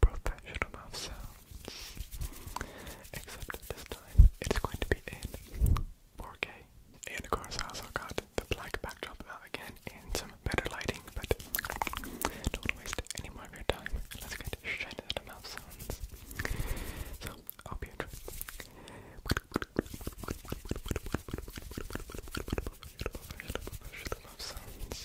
professional mouth sounds. Except this time it's going to be in 4K. And of course, I also got the black backdrop again and some better lighting, but don't waste any more of your time. Let's get into the mouth sounds. So, I'll be a Professional, professional sounds.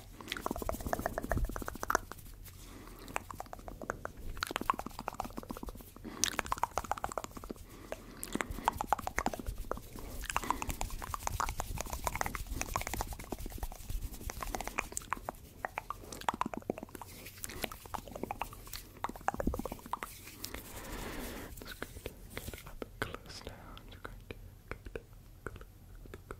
It's going to get up close now. It's going to get up close.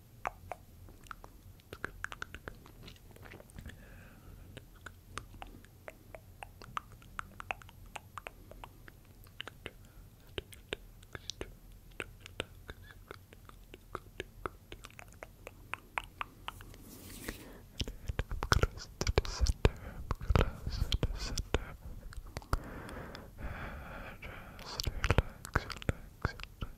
close to the center, close to the center. And just relax, relax, relax.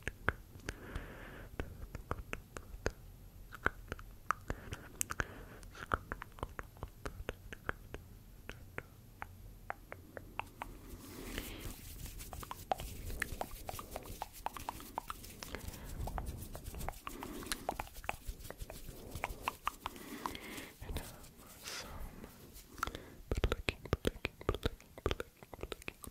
And have some plucking, plucking, plucking, plucking, plucking,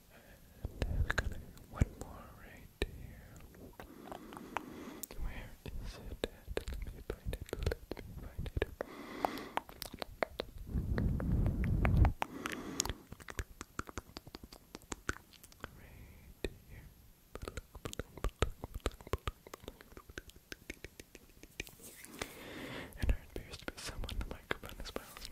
And there's one more right here. Where is it at? Let me find it. Let me find it. Right here. And there appears to be someone in the microphone as well, so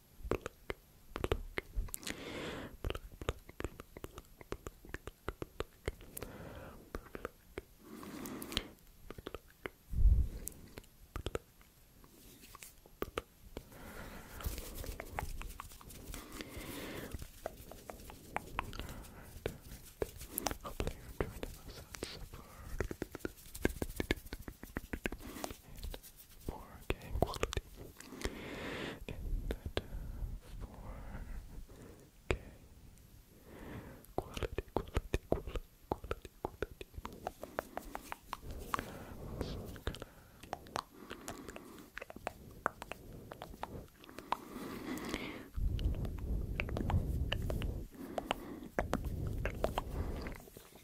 Hopefully you're enjoying the so far. And for game quality, and that quality, quality, quality, quality, quality.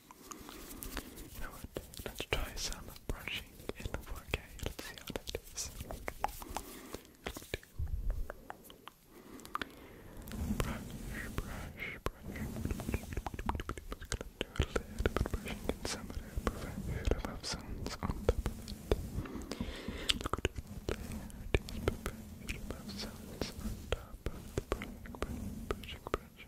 You Let's try some brushing in 4K. Let's see how that is. Brush, brush, brush. I'm just a little bit of brushing in some of the professional sounds on of it. Look at the layer, these professional sounds on top of the brushing, brushing, brushing.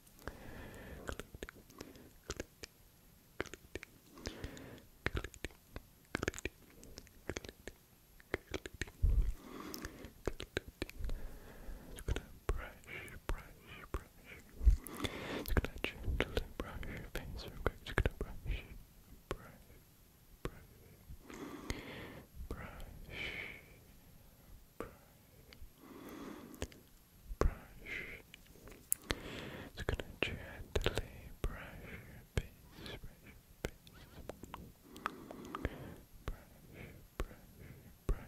you gonna brush, brush, brush. you gonna gently brush your gonna brush, brush, brush, brush, brush, brush. It's gonna gently brush your face, brush brush, brush, brush.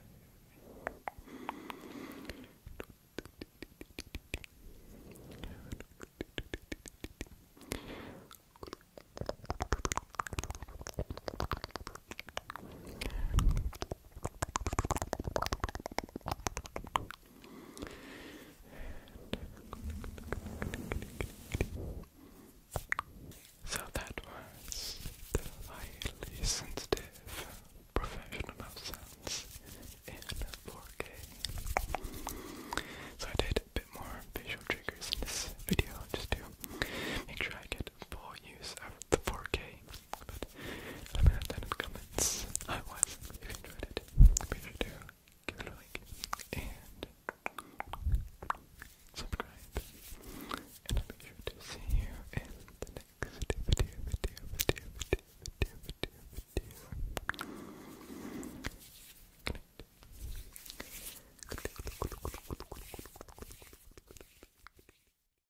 So that was the highly sensitive professional sounds in 4K. So I did a bit more visual triggers in this video just to make sure I get for use of the 4K. But let me know in the comments. if you enjoyed it, be sure to give it a like and subscribe. And I'll be sure to see you in the next video,